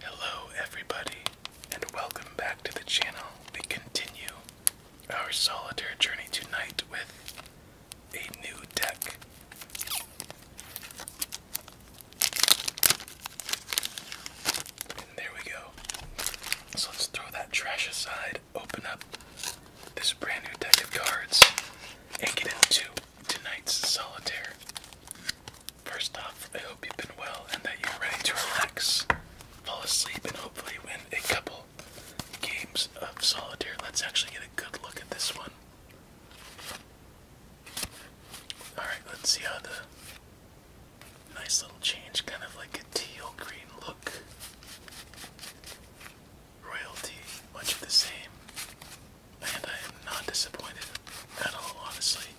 Hello, everybody, and welcome back to the channel. We continue our solitaire journey tonight with a new deck. there we go. So let's throw that trash aside, open up this brand new deck of cards, and get into tonight's solitaire. First off, I hope you've been well and that you're ready to relax, fall asleep, and hopefully win a couple games of solitaire. Let's actually get a good look at this one. Alright, let's see how the nice little change, kind of like a teal green look. Royalty, much the same and I'm not disappointed at all, honestly.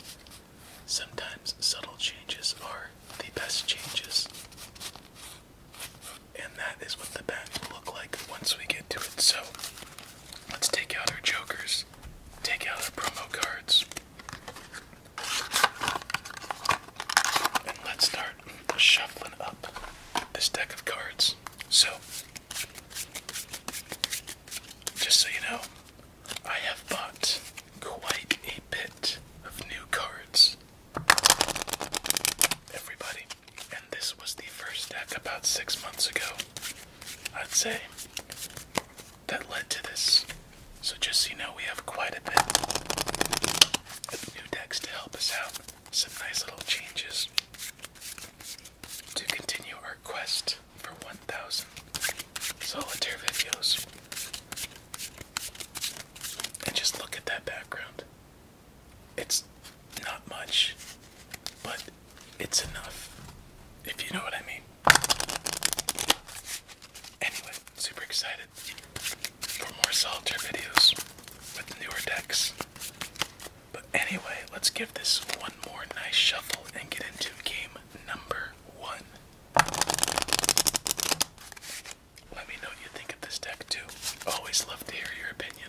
Sometimes subtle changes are the best changes, and that is what the bat will look like once we get to it. So, let's take out our jokers, take out our promo cards, and let's start shuffling up this deck of cards. So, just so you know, I have bought quite a bit of new cards. Everybody, and this was the first deck about six months ago, I'd say, that led to this. So just so you know, we have quite a bit of new decks to help us out. Some nice little changes to continue our quest for 1,000 solitaire videos. And just look at that background. It's not much, but it's enough, if you know what I mean. Anyway, super excited for more solitaire videos with newer decks. But anyway, let's give this one more nice shuffle and get into game number one. Let me know what you think of this deck too. Always love to hear your opinion.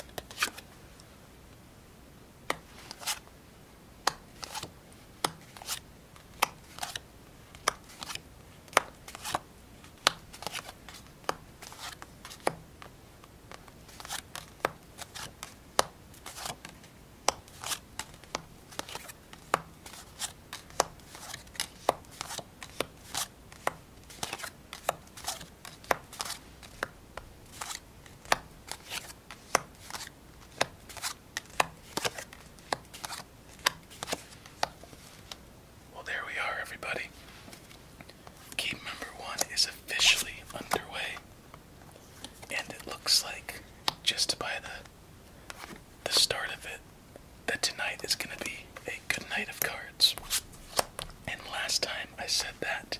Well, there we are, everybody. Game number one is officially underway. And it looks like just by the the start of it that tonight is going to be a good night of cards. And last time I said that,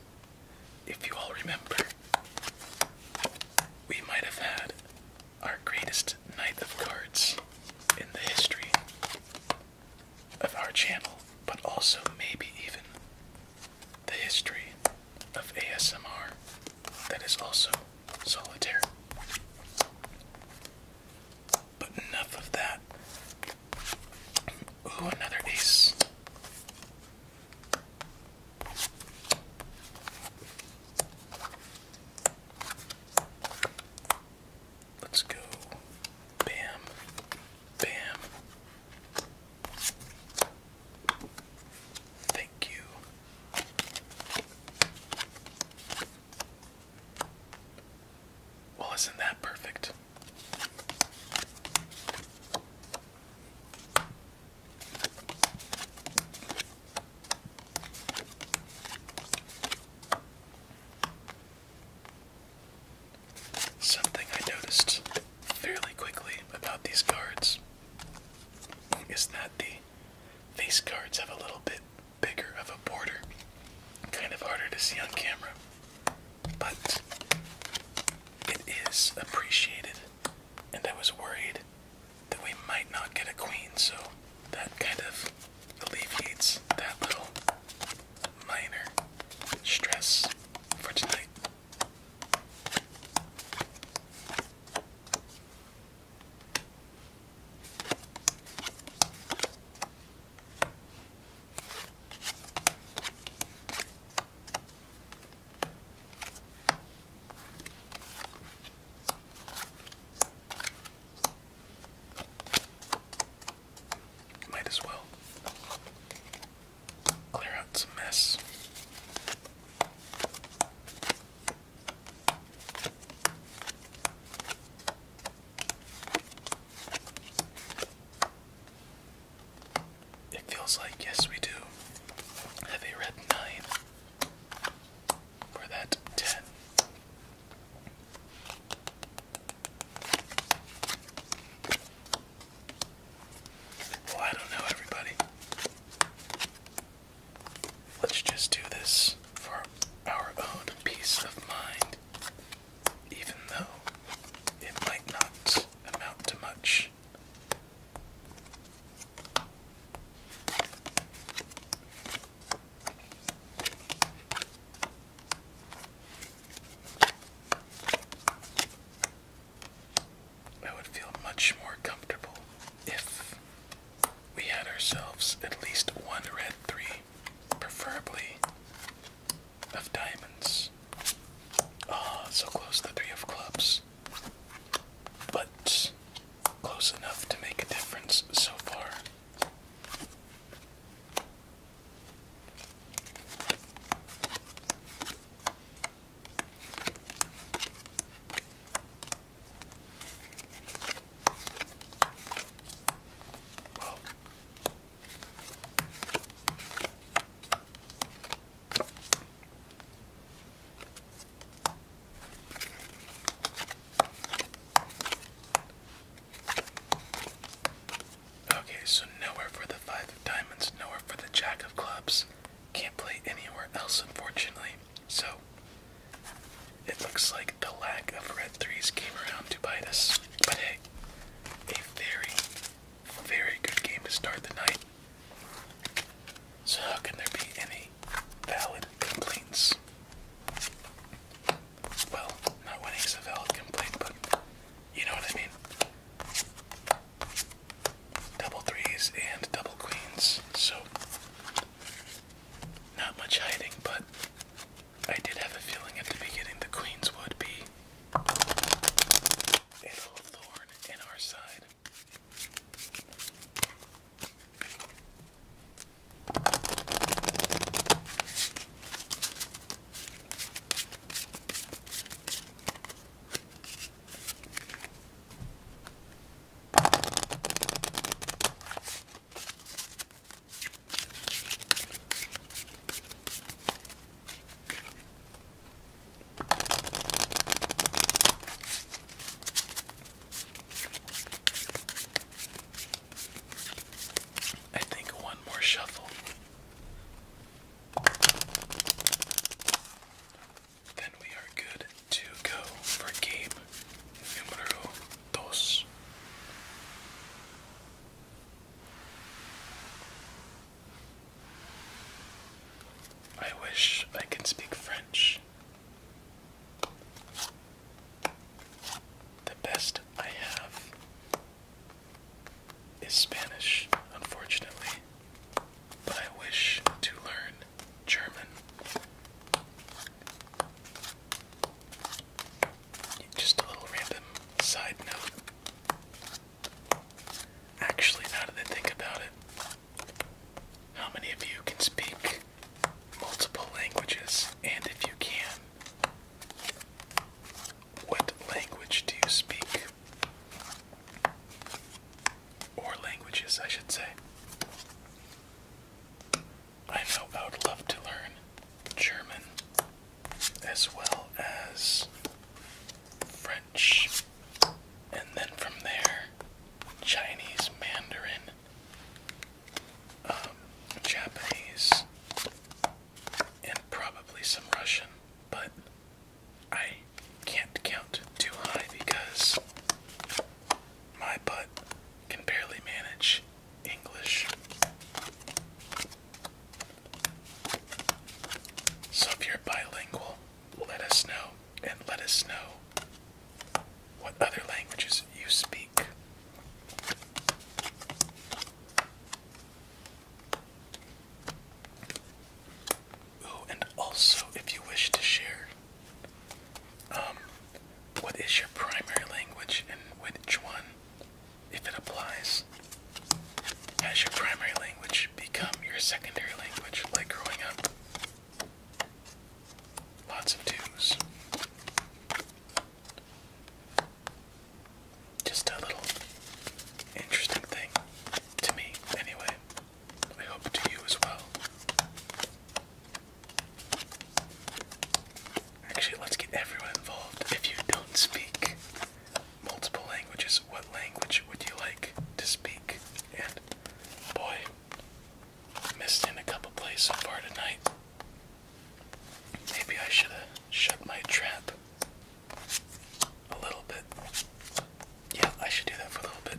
if you all remember, we might have had our greatest night of cards in the history of our channel, but also maybe even the history of ASMR that is also solitaire. But enough of that. Ooh, another ace. Let's go. Bam. Bam. Thank you. Well, isn't that perfect? Something I noticed fairly quickly about these cards is that the face cards have a little bit bigger of a border. Kind of harder to see on camera, but it is appreciated. And I was worried that we might not get a queen, so that kind of alleviates that little minor stress for tonight. Might as well clear out some mess. It feels like, yes, we do have red 9 for that 10. Well, I don't know, everybody. Let's just do this for our own peace of mind, even though it might not amount to much. I would feel much more comfortable if we had ourselves at least one red three, preferably of diamonds. Ah, so close to the three of clubs. But close enough to make a difference so far. Okay, so nowhere for the five of diamonds, nowhere for the jack of clubs, can't play anywhere else, unfortunately. So, it looks like the lack of red threes came around to bite us. But hey, a very, very good game to start the night. So how can there be any valid complaints? Well, not winning's a valid complaint, but you know what I mean double threes and double queens, so not much hiding, but I did have a feeling at the beginning the queens would be a little thorn in our side. I think one more shuffle. Then we are good to go for game numero dos. I wish I could speak French. The best I have is Spanish, unfortunately but I wish to learn German. Just a little random side note. Actually, now that I think about it, how many of you can speak multiple languages? And if you can, what language do you speak? Or languages, I should say. I know I would love to learn German as well as French, and then from there, Chinese, Mandarin, um, Japanese, and probably some Russian, but I can't count too high because my butt can barely manage English. So if you're bilingual, let us know and let us know what other languages you speak. Ooh, and also, if you wish to share, um, what is your primary language and which one, if it applies, has your primary language become your secondary language, like growing up? Lots of twos. Just a little interesting thing to me, anyway. I hope to you as well. Actually, let's get everyone involved. If you don't speak multiple languages, what language would you like to speak? And boy, missed in a couple plays far tonight. Maybe I should have shut my trap a little bit. Yeah, I should do that for a little bit.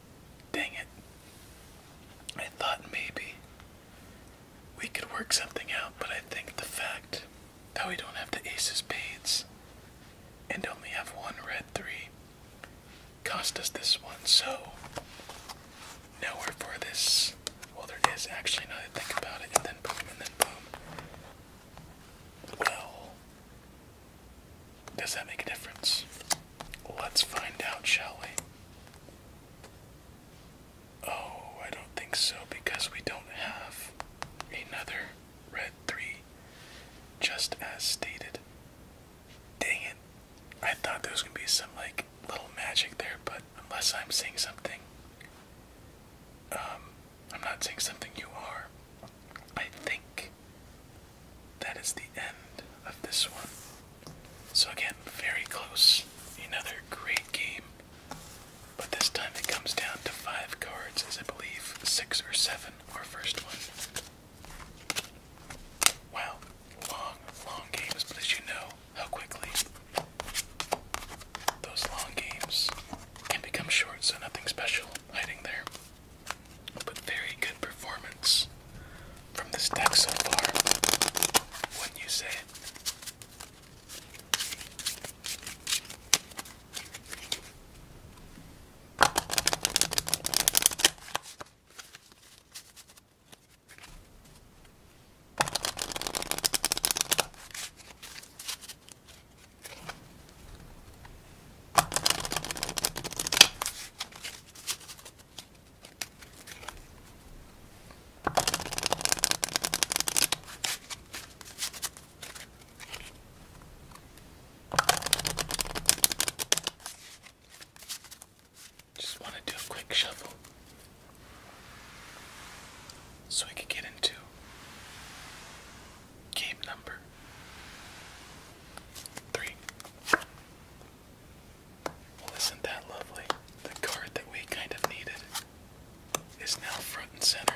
Dang it. I thought maybe we could work something out, but I think the fact that we don't have the aces, of and only have one red three cost us this one, so nowhere for this. Well, there is actually, now that I think about it, and then boom, and then boom. Well, does that make a difference? Let's find out, shall we? Oh, I don't think so because we don't have another red 3, just as stated. Dang it. I thought there was going to be some, like, little magic there, but unless I'm seeing something, um, I'm not seeing something you are. I think that is the end of this one. So, again, very close. Another great game. But this time it comes down to five cards, as I believe six or seven or first one. Wow, long, long games, but as you know, how quickly those long games can become short, so nothing special hiding there. But very good performance from this deck so far. Wouldn't you say? Just want to do a quick shuffle so we can get into game number three. Well, isn't that lovely? The card that we kind of needed is now front and center.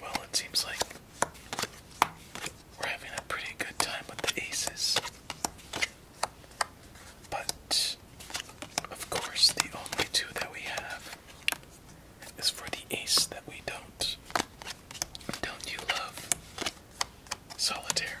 Well, it seems like we're having a pretty good time with the aces. But, of course, the only two that we have is for the ace that we don't. Don't you love solitaire?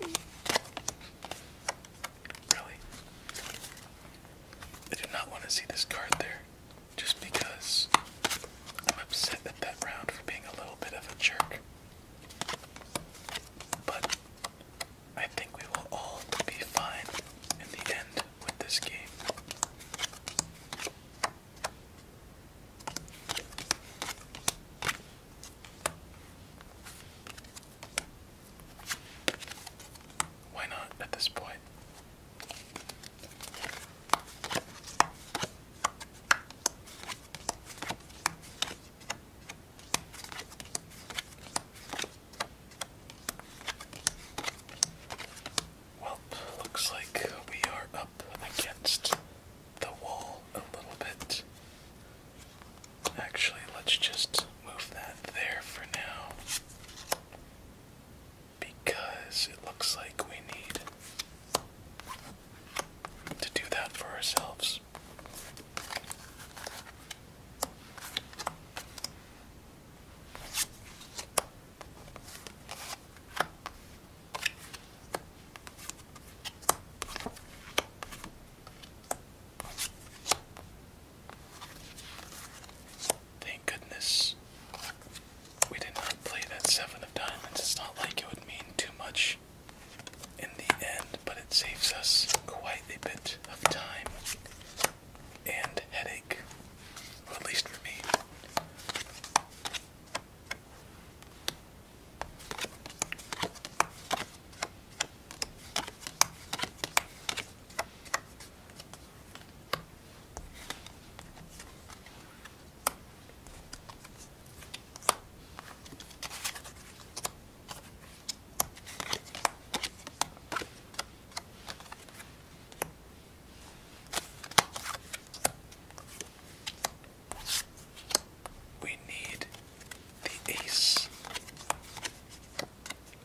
Really? I do not want to see this card there just because I'm upset at that round for being a little bit of a jerk. But I think we will all be fine in the end with this game. Why not at this point? Well, looks like we are up against the wall a little bit. Actually, let's just move that there for now because it looks like we need to do that for ourselves. Thank goodness we did not play that seven of diamonds. It's not like it would mean too much in the end, but it saves us quite a bit of time and headache, at least for me. We need the ace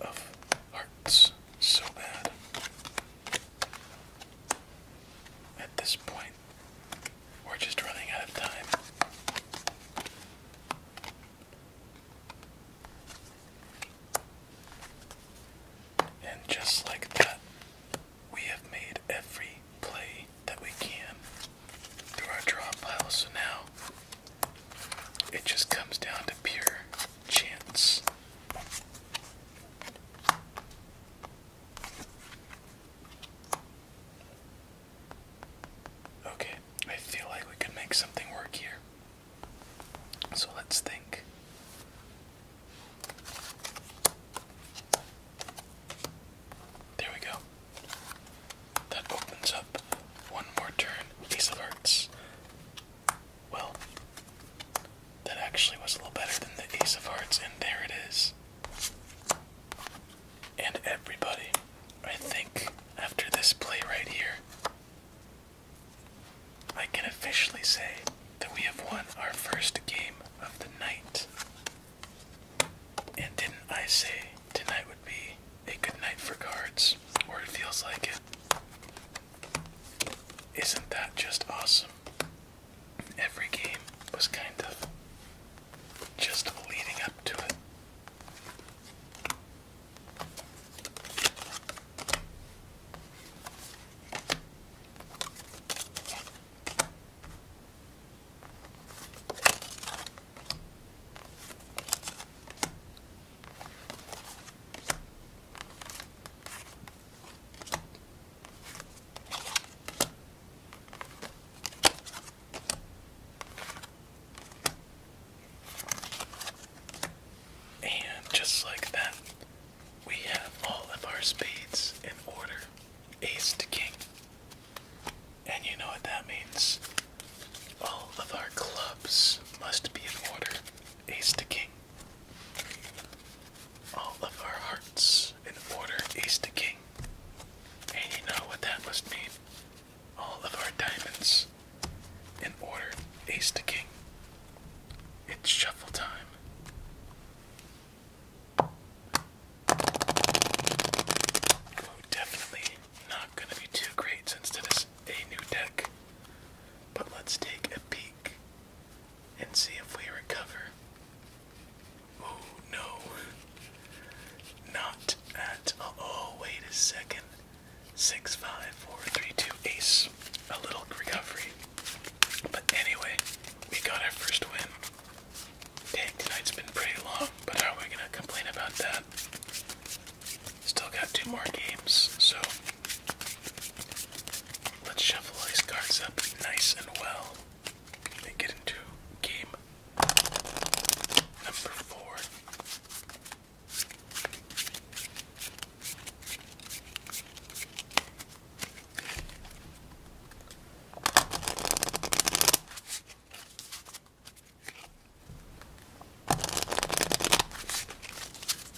of hearts so bad. At this point, we're just running out of time. And just like that, we have made every play that we can through our draw pile. So now it just comes down to pure chance. Okay, I feel like we could make something work here. So let's think. There we go. That opens up one more turn. Ace of well, that actually was a little better than the Ace of Hearts, and there it is. And everybody, I think after this play right here, I can officially say that we have won our first game of the night. And didn't I say tonight would be a good night for cards? Or it feels like it. Isn't that just awesome? Every game was kind of just leading up to it. And just like that, we have all of our spades in order ace to king. And you know what that means? All of our clubs must be in order ace to king. All of our hearts in order is the king. And you know what that must mean. All of our diamonds in order ace to king. It's shuffle time. definitely not going to be too great since this a new deck. But let's take a peek and see if we recover. Oh no. Not at oh wait a second. Six five four three two ace. A little recovery. But anyway, we got our first win. Dang, tonight's been pretty long, but how are we gonna complain about that? Still got two more games, so Let's shuffle these cards up nice and well and get into game number four.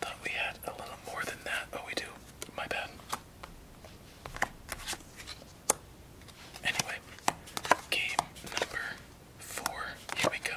Thought we had a little more than that. Oh, we do. My bad. Anyway, game number four. Here we go.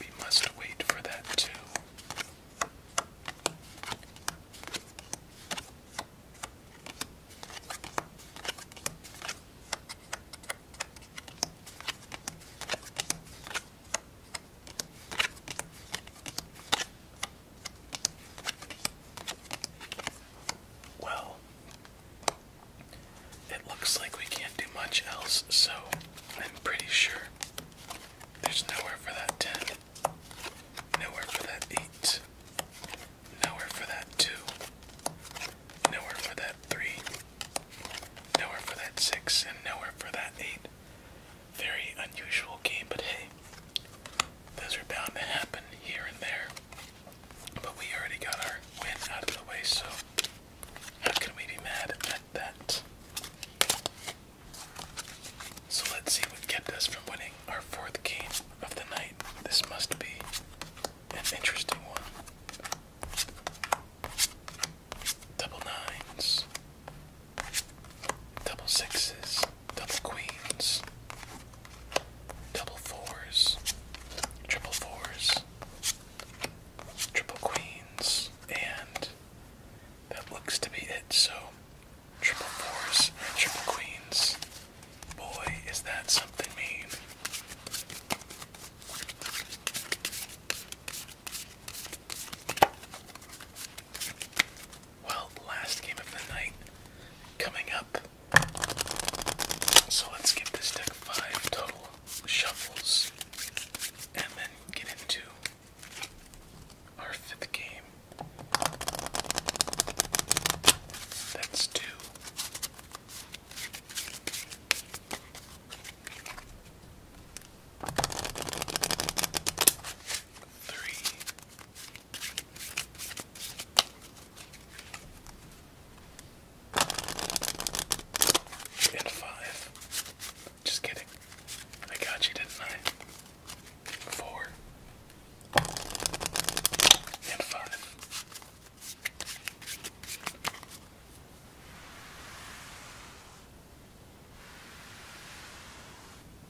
We must wait for that too. Well, it looks like we can't do much else, so I'm pretty sure there's nowhere for that 10, nowhere for that 8, nowhere for that 2, nowhere for that 3, nowhere for that 6, and nowhere for that 8 very unusual game, but hey, those are bound to happen here and there. But we already got our win out of the way, so how can we be mad at that? So let's see what kept us from winning our fourth game of the night. This must be an interesting one. Double nines double sixes, double queens, double fours, triple fours, triple queens, and that looks to be it. So, triple fours, triple queens. Boy, is that something mean. Well, last game of the night coming up. So let's give this deck five total shuffles and then get into our fifth game. That's two. Three, and five. Just kidding. I got you, didn't I? Four. And five.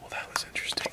Well, that was interesting.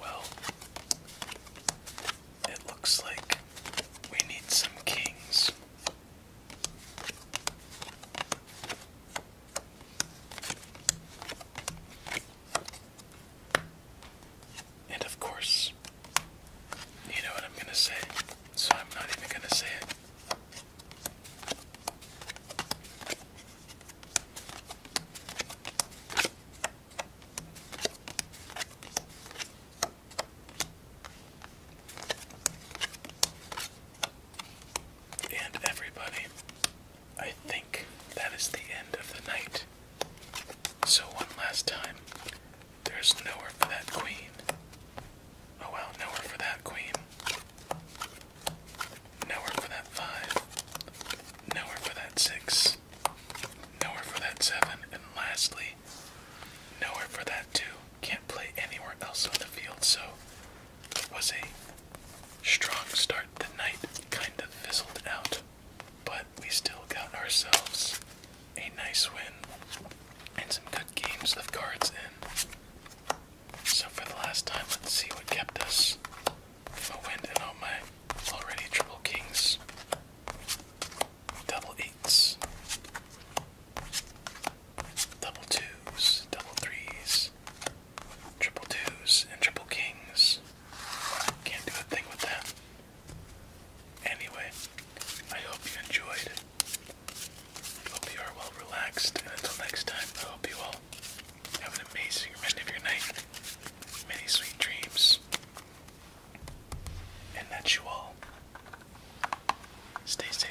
Well, it looks like we need some kings. And of course, you know what I'm going to say, so I'm not even going to say it. And everybody, I think that is the end of the night. So one last time. There's nowhere for that queen. Oh well, nowhere for that queen. Nowhere for that five. Nowhere for that six. Nowhere for that seven. And lastly, nowhere for that two. Can't play anywhere else on the field, so it was a strong start. The knight kind of fizzled out, but we still got ourselves a nice win and some good games of cards in. So for the last time, let's see what kept us from a win and all my already triple kings, double eights, double twos, double threes, triple twos, and triple kings. Can't do a thing with that. Anyway, I hope you enjoyed. Hope you are well relaxed, and until next time, I hope you all have an amazing rest of your night, many sweet dreams, and that you all stay safe